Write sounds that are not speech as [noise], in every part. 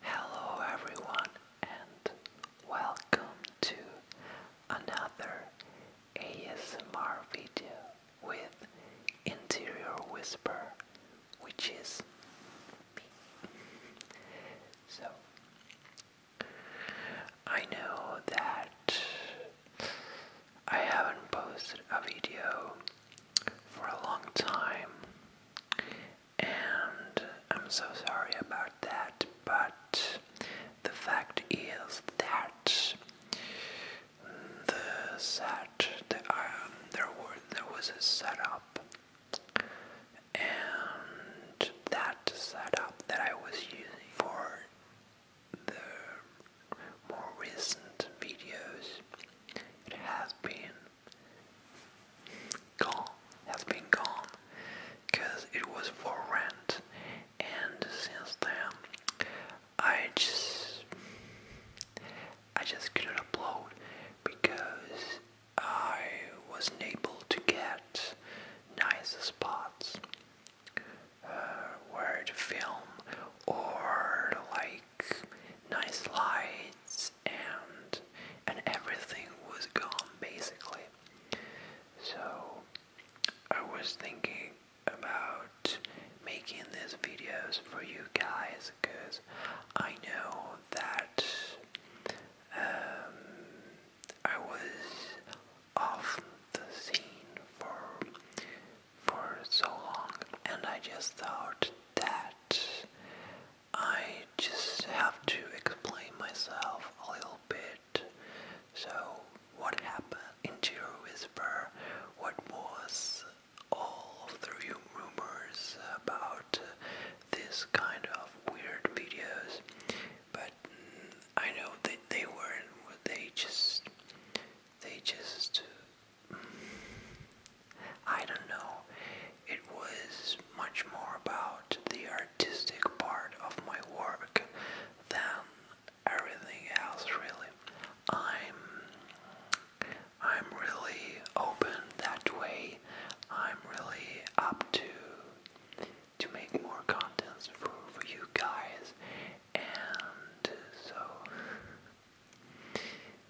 Hello, everyone, and welcome to another ASMR video with Interior Whisper, which is me. So, I know that I haven't posted a video for a long time, and I'm so sorry about that, but the fact is that the set, um, there was a setup and that setup that I was using for the more recent videos it has been gone has been gone because it was for rent and since then I just I just couldn't upload because I wasn't able to get nice spots uh, where to film or like nice lights and and everything was gone basically. So I was thinking about making these videos for you guys because I know that um, I was off the scene for for so long, and I just thought that I just have to explain myself a little bit. So, what happened in Giro Whisper? What was all of the rumors about this kind of weird videos, but I know that they weren't. They just, they just, I don't know. It was much more about the artistic part of my work than everything else. Really, I'm. I'm really open that way. I'm really up to to make more contents for for you guys, and so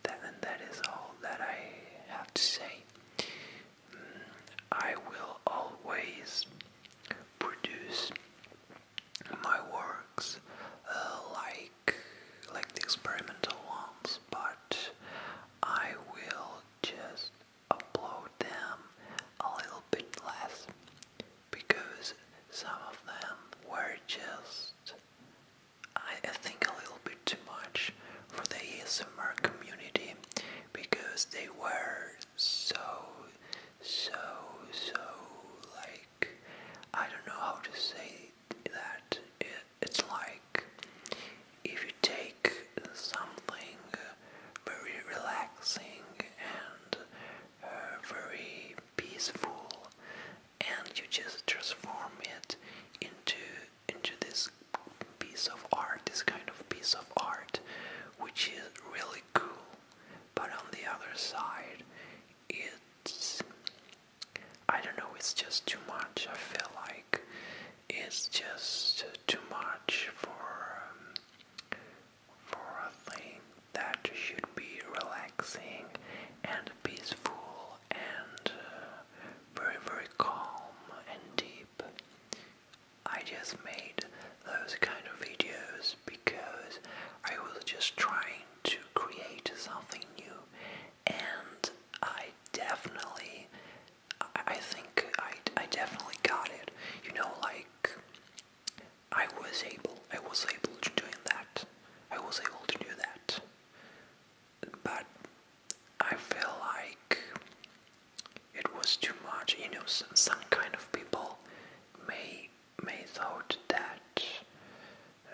that that is all that I have to say. Mm, I will always produce my works uh, like like the experimental ones, but I will just upload them a little bit less because some of them were just I, think a little bit too much for the ASMR community because they were so so so like I don't know how to say that it's like if you take something very relaxing and uh, very peaceful and you just transform it into into this piece of art this kind of piece of art which is really cool but on the other side it's I don't know, it's just too much. I feel like it's just too much for um, for a thing that should be relaxing and peaceful and uh, very very calm and deep. I just made those kind of videos because I was just trying to create something new and I definitely, I, I think I, I definitely got it. You know, like I was able, I was able to do that. I was able to do that, but I feel like it was too much. You know, some kind of people may may thought that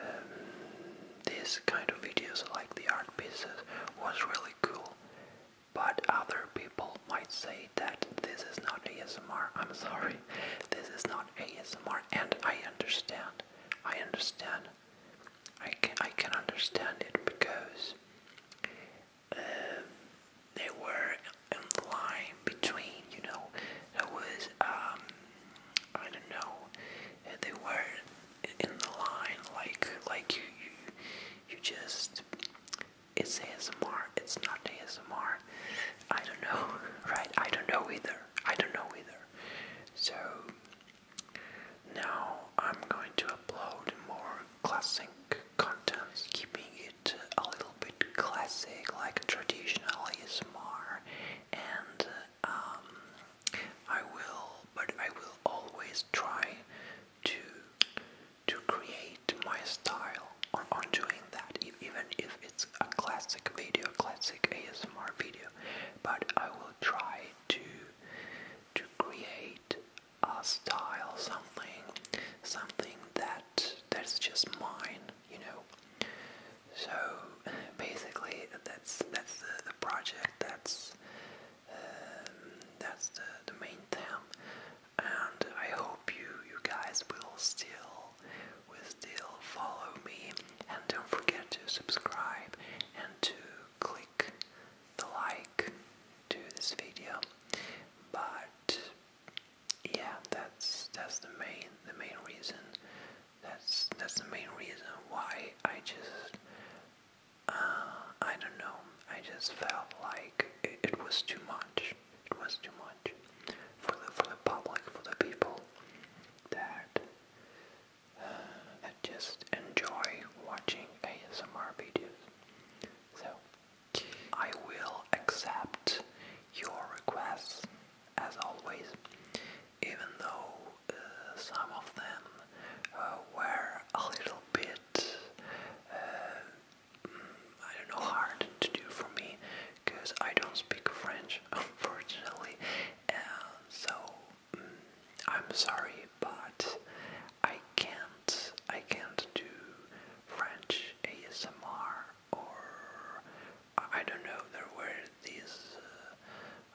um, this kind of videos like the art pieces was really cool but other people might say that this is not ASMR. I'm sorry, this is not ASMR, and I understand. I understand. I can I can understand it because um, they were in line between. You know, there was um, I don't know, they were in the line like like you you, you just it's ASMR, it's not ASMR. I don't know, [laughs] right? I don't know either. I don't know either. So now I'm going to upload more classic content, keeping it a little bit classic, like traditional ASMR, and uh, um, I will, but I will always try to to create my style on, on doing that, even if it's a classic video, classic ASMR video. But I will try to to create a style, something, something that that's just mine, you know. So basically, that's that's the, the project. That's um, that's the, the main theme, and I hope you you guys will still will still follow me. And don't forget to subscribe and to click the like to this video. But yeah, that's that's the main the main reason that's that's the main reason why I just uh, I don't know. I just felt like it, was too much. It was too much for the for the public, for the people that uh, just enjoy watching ASMR videos. So I will accept your requests as always, even though uh, some of them uh, were a little bit, uh, mm, I don't know, hard to do for me because I don't speak French, [laughs] unfortunately, so mm, I'm sorry, but I can't, I can't do French ASMR or I don't know, there were these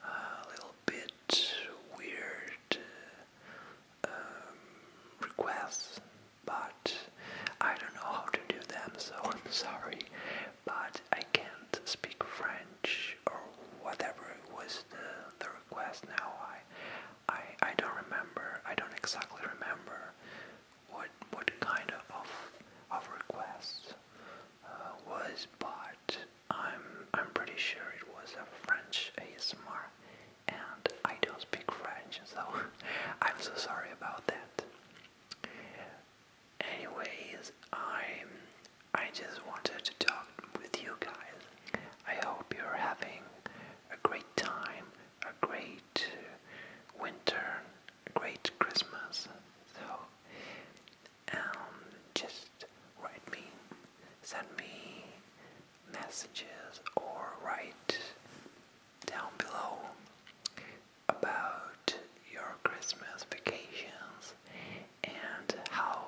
uh, uh, little bit weird um, requests, but I don't know how to do them, so [laughs] I'm sorry, but I can't speak French or whatever was the, the request now. I, I, I don't remember, I don't exactly remember what what kind of of request uh, was, but I'm I'm pretty sure it was a French ASMR, and I don't speak French, so [laughs] I'm so sorry about that. Anyways, I I just wanted to talk with you guys. I hope you're having a great time, a great winter great Christmas. So, um, just write me, send me messages, or write down below about your Christmas vacations and how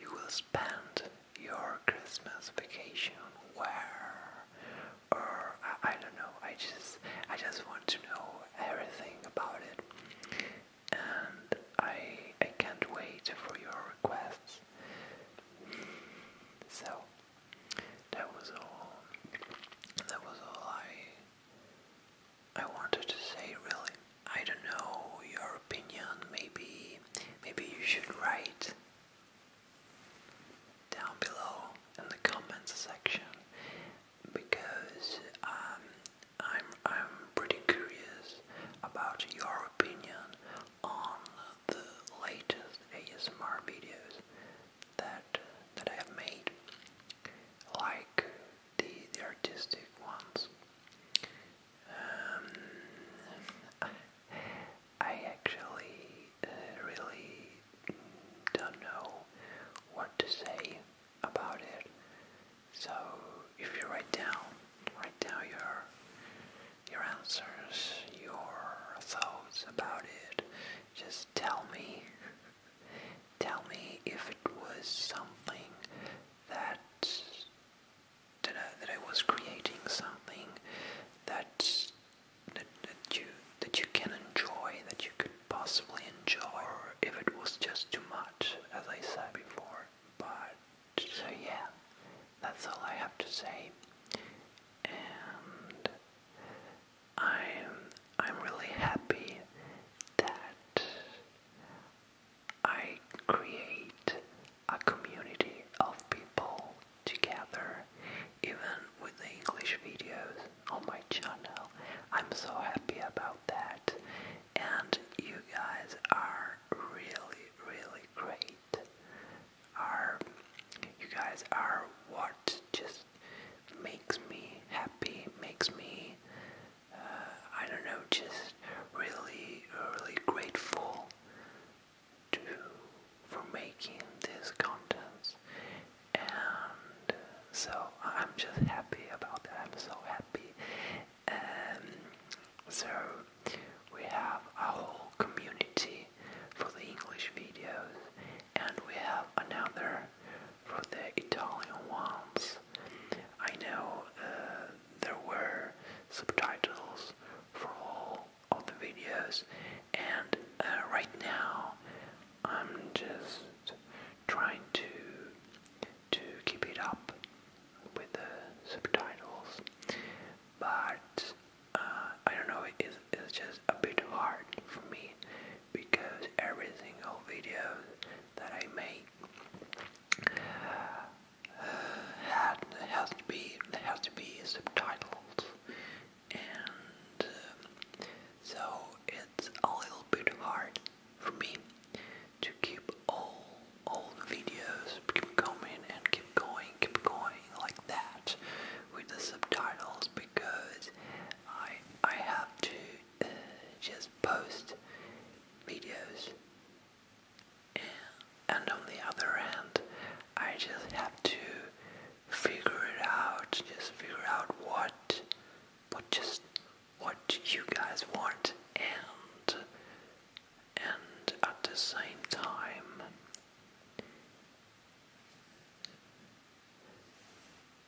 you will spend your Christmas vacation, where, or I, don't know. I just I just want to know everything about it, and I I can't wait for your requests. So that was all. That was all I I wanted to say. Really, I don't know your opinion. Maybe maybe you should write down below in the comments section because um, I'm I'm pretty curious about your opinion on the latest ASMR videos that that I've made, like the the artistic ones. Um, I actually uh, really don't know what to say about it. So if you write down, write down your your answers, your thoughts about it. Just tell me, [laughs] tell me if it was something that that I, that I was creating something that that, that you that you can enjoy, that you could possibly enjoy, or if it was just too much, as I said before. But so yeah, that's all I have to say, and I'm I'm really happy that I create a community of people together, even with the English videos on oh my channel. I'm so happy about that, and you guys are really, really great. Are you guys are what just makes me happy, makes me uh, I don't know, just really, really grateful do for making these contents and so I'm just happy about that. so happy. Um, so we have a whole community for the English videos and we have another for the Italian ones. I know uh, there were subtitles for all all the videos and uh, right now I'm just trying to to keep it up with the subtitles but uh, I don't know it's, just a bit hard for me because every single video that I make uh, has to be has to be subtitled and um, so it's a little bit hard for me to keep all all videos keep coming and keep going, keep going like that with the subtitles because I I have to uh, just post videos and on the other hand, I just have to figure it out, just figure out what, what just, what you guys want, and, and at the same time,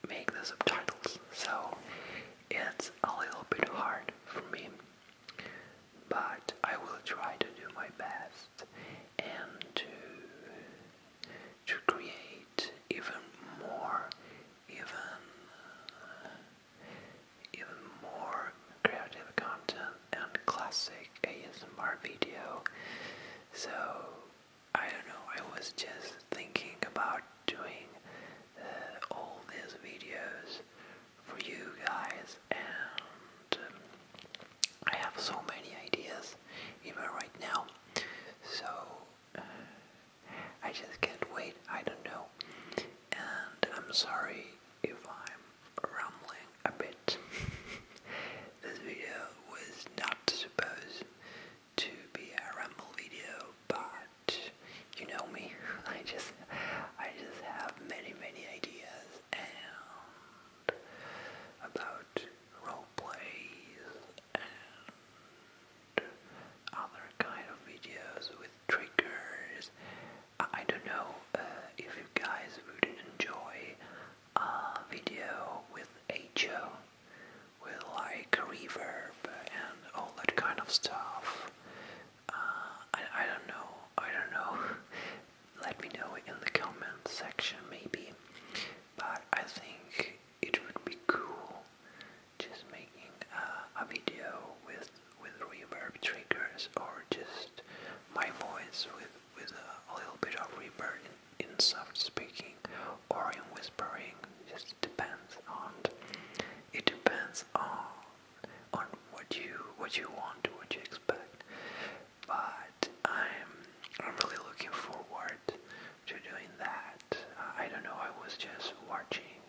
make the subtitles. So it's a little bit hard for me, but I will try to do my best and to to create even more even even more creative content and classic ASMR video so I don't know I was just thinking about doing uh, all these videos for you guys and um, I have so many ideas even right now so uh, I just can't wait I don't know and I'm sorry if I'm rambling a bit [laughs] this video was not supposed to be a ramble video but you know me [laughs] I just I just have many many ideas and about role plays and other kind of videos with triggers. I, don't know uh, if you guys would enjoy a video with HO, with like reverb and all that kind of stuff. Uh, I, I don't know. I don't know. [laughs] Let me know in the comment section, maybe. But I think it would be cool just making a video with with reverb triggers or just my voice with with a, little bit of reverb in soft speaking or in whispering. Just depends on. It depends on on what you what you want, what you expect. But I'm I'm really looking forward to doing that. I don't know. I was just watching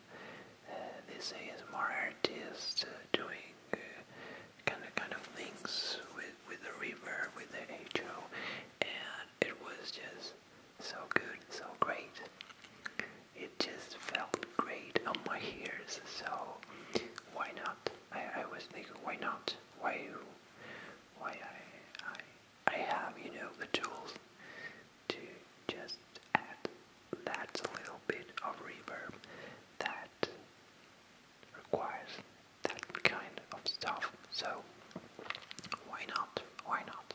uh, these ASMR artists uh, doing uh, kind of kind of things with with the river, with the HO, and it was just so good, so great it just felt great on my ears. So why not? I, I was thinking, why not? Why Why I, I I have you know the tools to just add that little bit of reverb that requires that kind of stuff. So why not? Why not?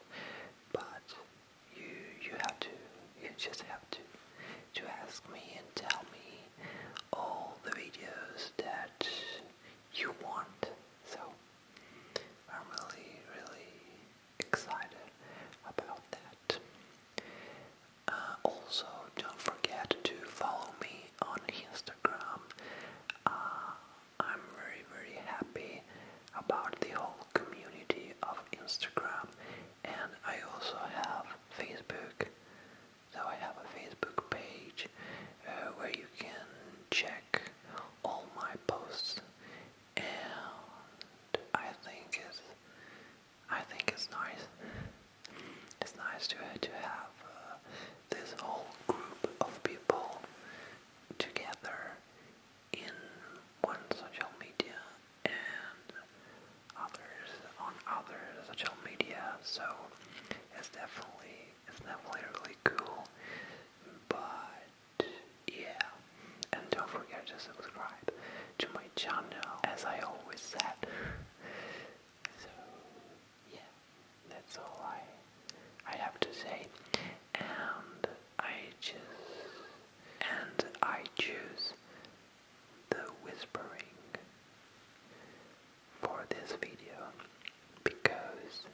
But you you have to you just have to to ask me and tell me all the videos that you want. So I'm really really excited about that. Uh, also, don't forget to follow me on Instagram. Uh, I'm very very happy about the whole community of Instagram and I also have Facebook. So I have a Facebook page uh, where you can check all my posts and I think it's I think it's nice. It's nice to to have uh, this whole group of people together in one social media and others on other social media. So it's definitely it's definitely really cool. But yeah, and don't forget to subscribe to my channel, as I always said. So yeah, that's all I I have to say, and I just and I choose the whispering for this video because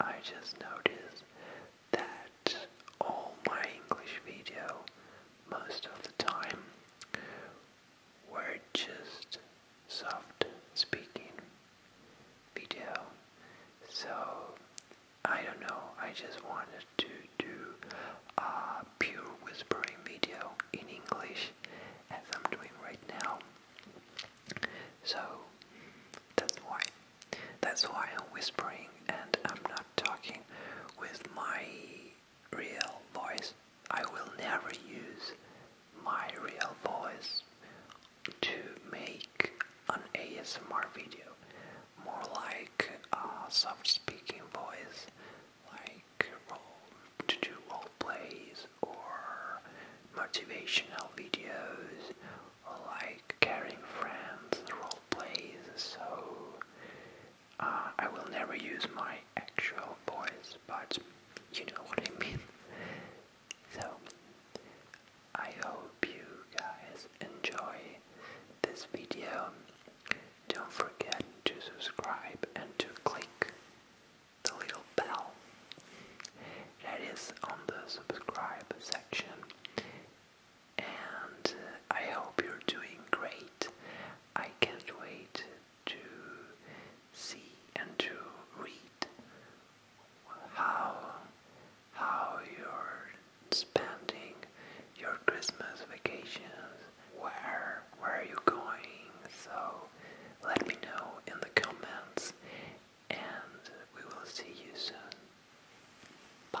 I just noticed that all my English video most of the time were just soft speaking video so I don't know, I just wanted to do a pure whispering video in English as I'm doing right now. So that's why. That's why I'm whispering and I'm not talking with my real voice. I will never use my real voice to make an ASMR video, more like a soft speaking voice, like role, to do role plays or motivational videos, like caring friends role plays. So uh, I will never use my actual voice, but you know what I mean. So I hope you guys enjoy this video. Don't forget to subscribe and to click the little bell that is on the subscribe section. And uh, I hope you're doing great. I can't wait to see and to read how how you're spending your Christmas vacations, where where are you going? So let me know in the comments and we will see you soon. Bye.